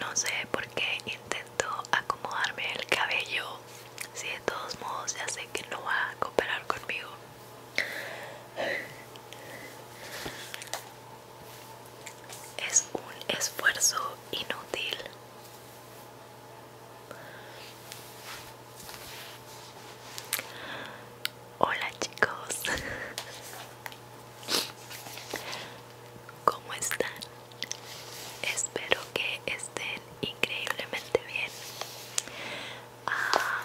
No sé por qué intento acomodarme el cabello si de todos modos ya sé que no va a cooperar conmigo es un esfuerzo inútil. Hola chicos, ¿cómo están? Espero que estén increíblemente bien. Ah,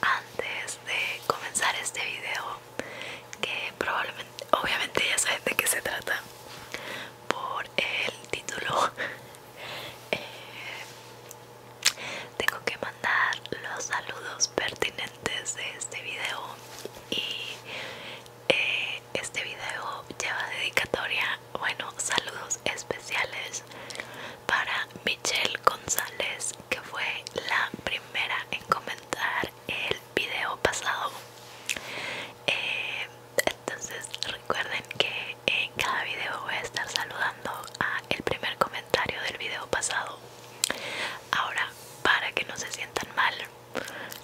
antes de comenzar este video que probablemente, obviamente ya saben de qué se trata por el título eh, tengo que mandar los saludos pertinentes de este video y eh, este video lleva dedicatoria bueno saludos especiales para mi Michelle González, que fue la primera en comentar el video pasado. Eh, entonces recuerden que en cada video voy a estar saludando a el primer comentario del video pasado. Ahora, para que no se sientan mal,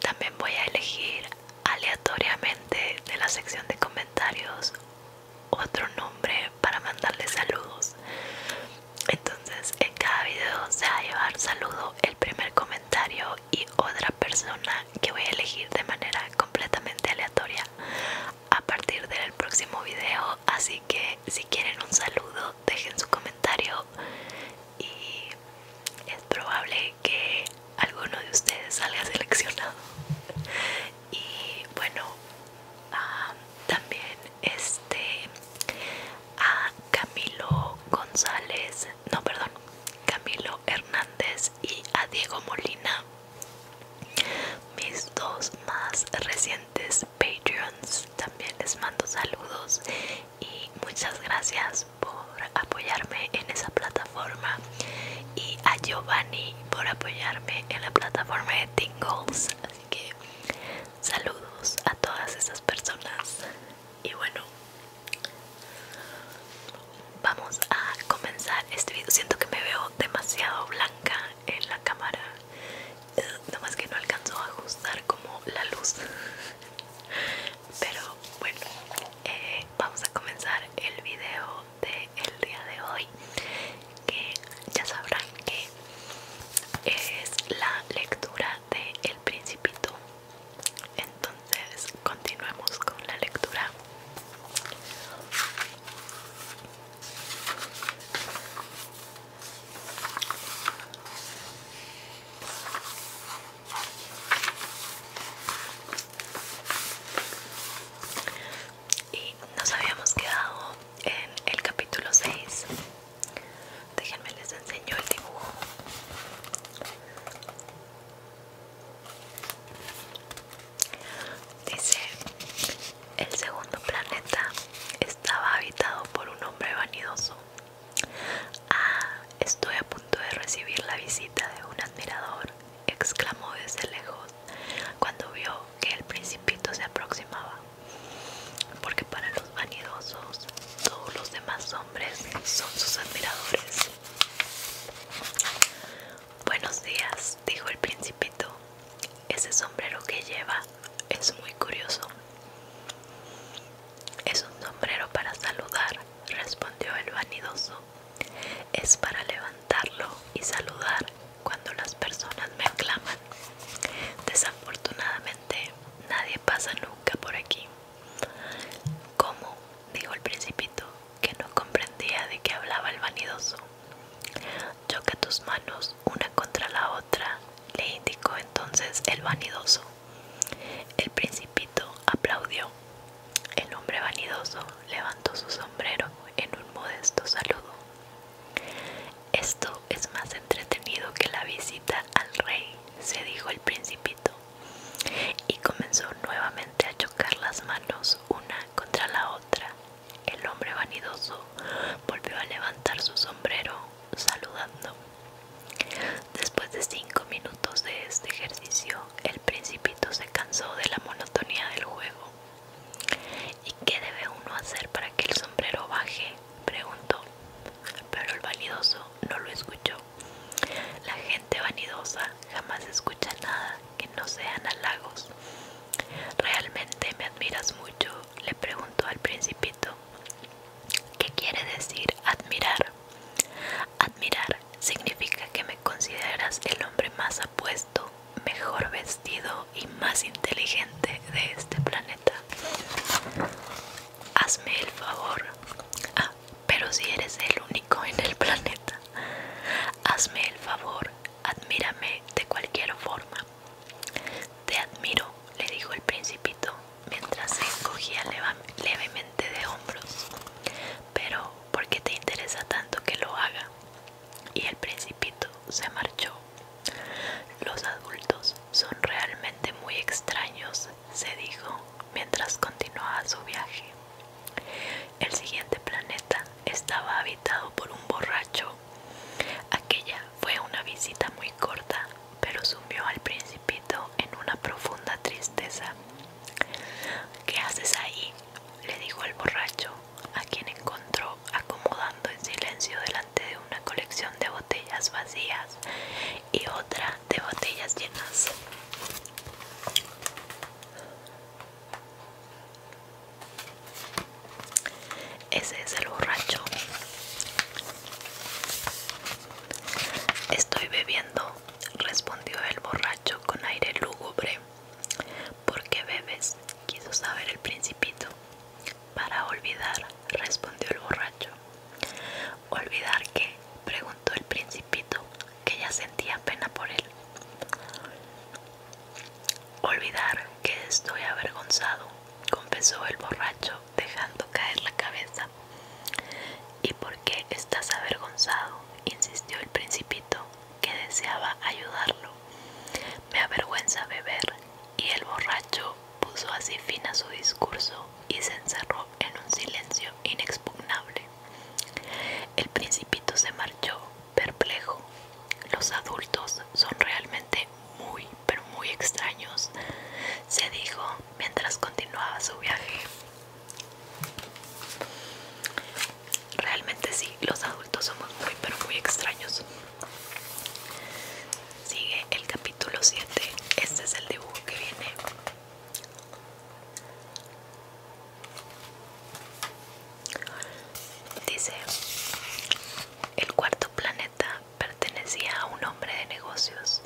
también voy a elegir aleatoriamente de la sección de comentarios otro nombre para mandarles saludos. Entonces, en cada video se va a llevar saludo, el primer comentario y otra persona que voy a elegir de manera completamente aleatoria a partir del próximo video. Así que si quieren un saludo, dejen su comentario y es probable que alguno de ustedes salga seleccionado. Y bueno, Ah, también este a Camilo González, no perdón, Camilo Hernández y a Diego Molina, mis dos más recientes patrons También les mando saludos y muchas gracias por apoyarme en esa plataforma y a Giovanni por apoyarme en la plataforma de Tingles. Así que Saludos a todas esas personas. Y bueno, vamos a comenzar este video. Siento que me veo demasiado blanca en la cámara. Eh, Nada más que no alcanzó a ajustar como la luz. Pero bueno, eh, vamos a comenzar el video del día de hoy que ya sabrán que es la lectura de El Principito. Entonces, continuemos con la lectura. Y nos habíamos quedado en el capítulo 6 Déjenme les enseño el dibujo. Dice, el segundo planeta estaba habitado por un hombre vanidoso. Ah, estoy a punto de recibir la visita de un admirador, exclamó desde lejos cuando vio que el principito se aproximaba porque para los vanidosos todos los demás hombres son sus admiradores. Buenos días, dijo el principito, ese sombrero que lleva es muy curioso. Es un sombrero para saludar, respondió el vanidoso. Es para levantarlo y saludar cuando las personas me aclaman. Desafortunadamente, este, nadie pasa nunca por aquí. ¿Cómo? dijo el principito, que no comprendía de qué hablaba el vanidoso. Choca tus manos una contra la otra, le indicó entonces el vanidoso. El principito aplaudió. El hombre vanidoso levantó su sombrero en un modesto saludo. Esto es más entretenido que la visita al rey, se dijo el principito, y comenzó nuevamente a chocar las manos una contra la otra. El hombre vanidoso volvió a levantar su sombrero, saludando. Después de cinco minutos de este ejercicio, el principito se cansó de la monotonía del juego ¿Y qué debe uno hacer para que el sombrero baje? preguntó, pero el vanidoso no lo escuchó. La gente vanidosa jamás escucha nada que no sean halagos. ¿Realmente me admiras mucho? le preguntó al principito. ¿Qué quiere decir admirar? Admirar significa que me consideras el hombre más apuesto, mejor vestido, y más inteligente de este planeta. Hazme el favor. Ah, pero si eres el único en el planeta. Hazme el favor, admírame de cualquier forma. Te admiro, le dijo el principito mientras se encogía levemente de hombros. Pero, ¿por qué te interesa tanto que lo haga? Y el principito se marchó los adultos son realmente muy extraños, se dijo mientras continuaba su viaje. El siguiente planeta estaba habitado por un borracho. Aquella fue una visita muy corta, pero sumió al principito en una profunda tristeza. ¿Qué haces ahí? le dijo el borracho, a quien encontró acomodando en silencio delante de una colección de botellas vacías y otra de botellas llenas. Ese es el borracho. Estoy bebiendo, respondió el borracho con aire lúgubre. ¿Por qué bebes? quiso saber el principito para olvidar, respondió el borracho. ¿Olvidar qué? preguntó el principito, que ya sentía pena por él. Olvidar que estoy avergonzado, confesó el borracho, dejando caer la cabeza. ¿Y por qué estás avergonzado? insistió el principito, que deseaba ayudarlo me avergüenza beber. Y el borracho puso así fin a su discurso y se encerró en un silencio inexpugnable. El principito se marchó, perplejo. Los adultos son realmente muy, pero muy extraños, se dijo mientras continuaba su viaje. Realmente sí, los adultos somos muy, pero muy extraños. Sigue el capítulo 7. Este es el dibujo que viene. Dice, el cuarto planeta pertenecía a un hombre de negocios.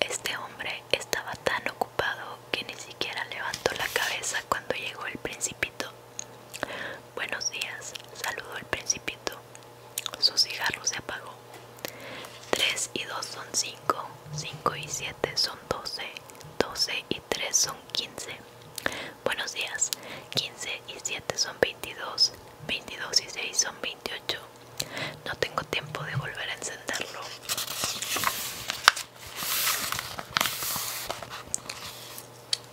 Este hombre estaba tan ocupado que ni siquiera levantó la cabeza cuando llegó el principito. Buenos días, saludó el principito. Su cigarro se apagó. 3 y 2 son 5, 5 y 7 son 12, 12 y 3 son 15. Buenos días, 15 y 7 son 22, 22 y 6 son 28. No tengo tiempo de volver a encenderlo.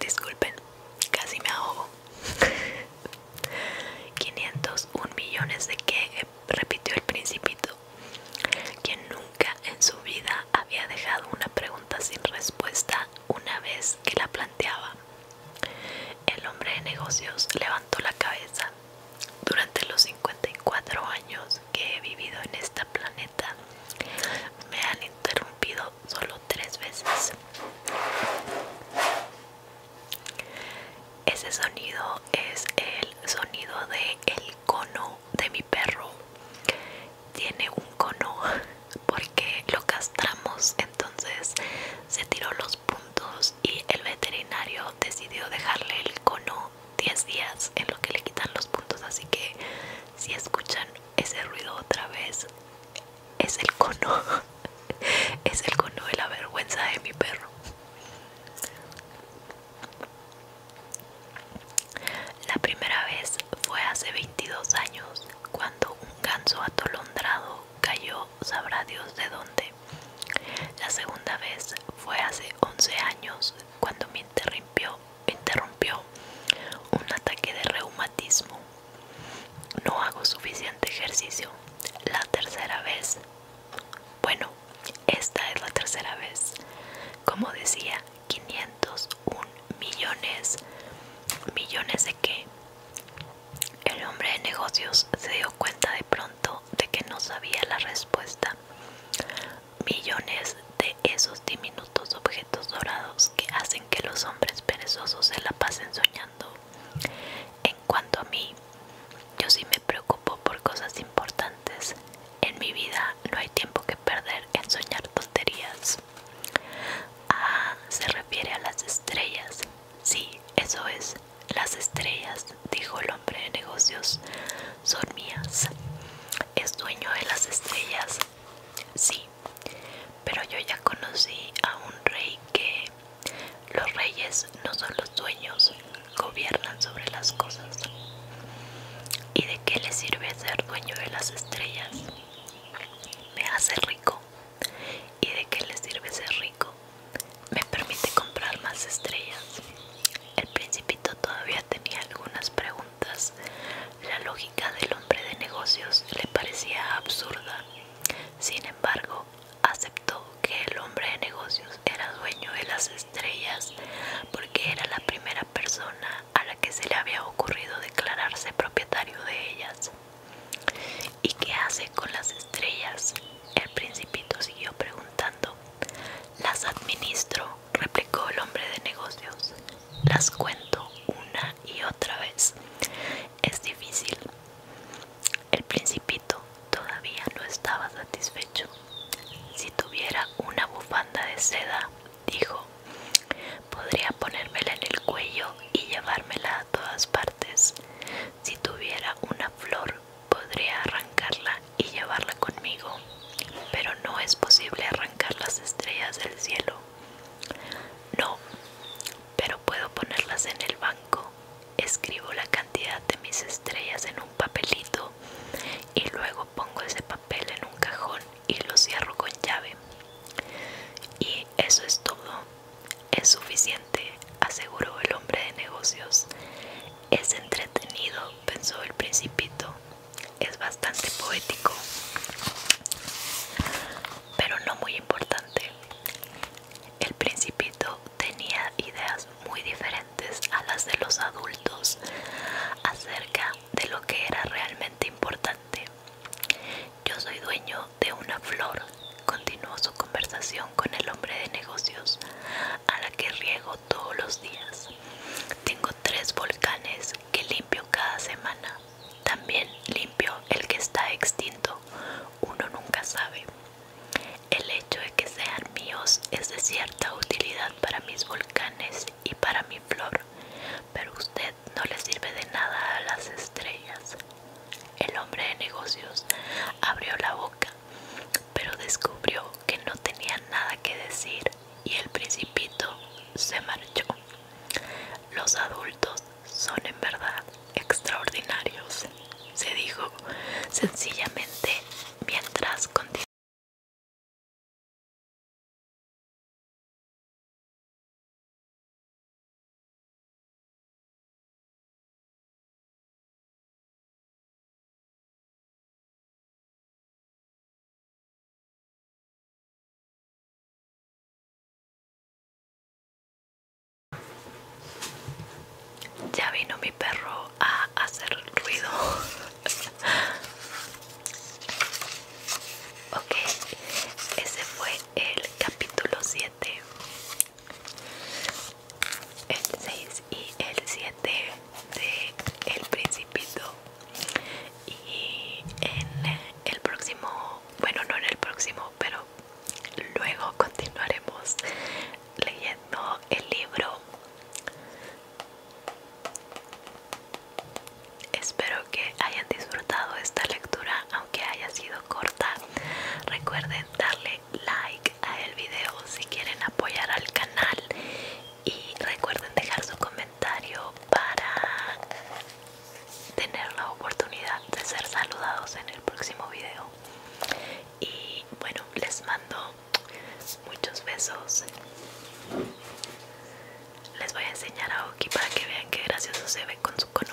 Disculpen, casi me ahogo. 501 millones de que eh, repitió el principito, quien nunca en su vida había dejado una pregunta sin respuesta una vez que la planteaba. El hombre de negocios levantó la cabeza. Durante los 54 años que he vivido en este planeta, me han interrumpido solo tres veces. Ese sonido es el sonido de el cono de mi perro. Tiene un cono porque lo castramos, entonces se tiró los puntos y el veterinario decidió dejarle el cono 10 días en lo que le quitan los puntos, así que si escuchan ese ruido otra vez es el cono. Es el cono de la vergüenza de mi perro. La primera vez fue hace 22 años, cuando un ganso atolondrado cayó sabrá Dios de dónde. La segunda vez fue hace 11 años, cuando me interrumpió, interrumpió un ataque de reumatismo. No hago suficiente ejercicio. La tercera vez, bueno, esta es la tercera vez. Como decía, 501 millones. ¿Millones de qué? El hombre de negocios se dio cuenta de pronto de que no sabía la respuesta. Millones de esos diminutos objetos dorados que hacen que los hombres perezosos se la pasen soñando cuando cuanto a mí, yo sí me preocupo por cosas importantes. En mi vida no hay tiempo que perder en soñar tonterías. Ah, se refiere a las estrellas. Sí, eso es. Las estrellas, dijo el hombre de negocios, son mías. ¿Es dueño de las estrellas? Sí, pero yo ya conocí a un rey que los reyes no son los dueños, gobiernan sobre las cosas. ¿Y de qué le sirve ser dueño de las estrellas? Me hace rico. ¿Y de qué les sirve ser rico? Me permite comprar más estrellas. El principito todavía tenía algunas preguntas. La lógica del hombre de negocios le parecía absurda. Sin embargo, aceptó que el hombre de negocios era dueño de las estrellas porque era la primera persona a la que se le había ocurrido declararse propietario de ellas. ¿Y qué hace con las estrellas? El principito siguió preguntando. Las administro, replicó el hombre de negocios. Las cuento una y otra vez. Es difícil. El principito todavía no estaba satisfecho. Si tuviera una bufanda de seda, dijo, podría ponérmela en el cuello y llevármela a todas partes. Si tuviera una flor, podría arrancarla y llevarla conmigo, pero no es posible arrancar las estrellas del cielo. No, pero puedo ponerlas en el banco escribo la cantidad de mis estrellas en un papelito y luego pongo ese papel en un cajón y lo cierro con llave. Y eso es todo. Es suficiente, aseguró el hombre de negocios. Es entretenido, pensó el principito. Es bastante poético, pero no muy importante. El principito tenía ideas muy diferentes a las de los adultos acerca de lo que era realmente importante. Yo soy dueño de una flor, continuó su conversación con el hombre de negocios, a la que riego todos los días. Tengo tres volcanes que limpio cada semana. También limpio el que está extinto. Uno nunca sabe. El hecho de que sean míos es de cierta utilidad para mis volcanes y para mi flor, pero usted no le sirve de nada a las estrellas. El hombre de negocios abrió la boca, pero descubrió que no tenía nada que decir y el principito se marchó. Los adultos son en verdad extraordinarios se dijo sencillamente mientras contigo. Ya vino mi perro a hacer ruido. ok, ese fue el capítulo 7. El 6 y el 7 de El Principito. Y en el próximo, bueno, no en el próximo, pero luego continuaremos leyendo el libro. Espero que hayan disfrutado esta lectura, aunque haya sido corta. Recuerden darle like a el video si quieren apoyar al canal y recuerden dejar su comentario para tener la oportunidad de ser saludados en el próximo video y bueno les mando muchos besos les voy a enseñar a Oki para que vean qué gracioso se ve con su cono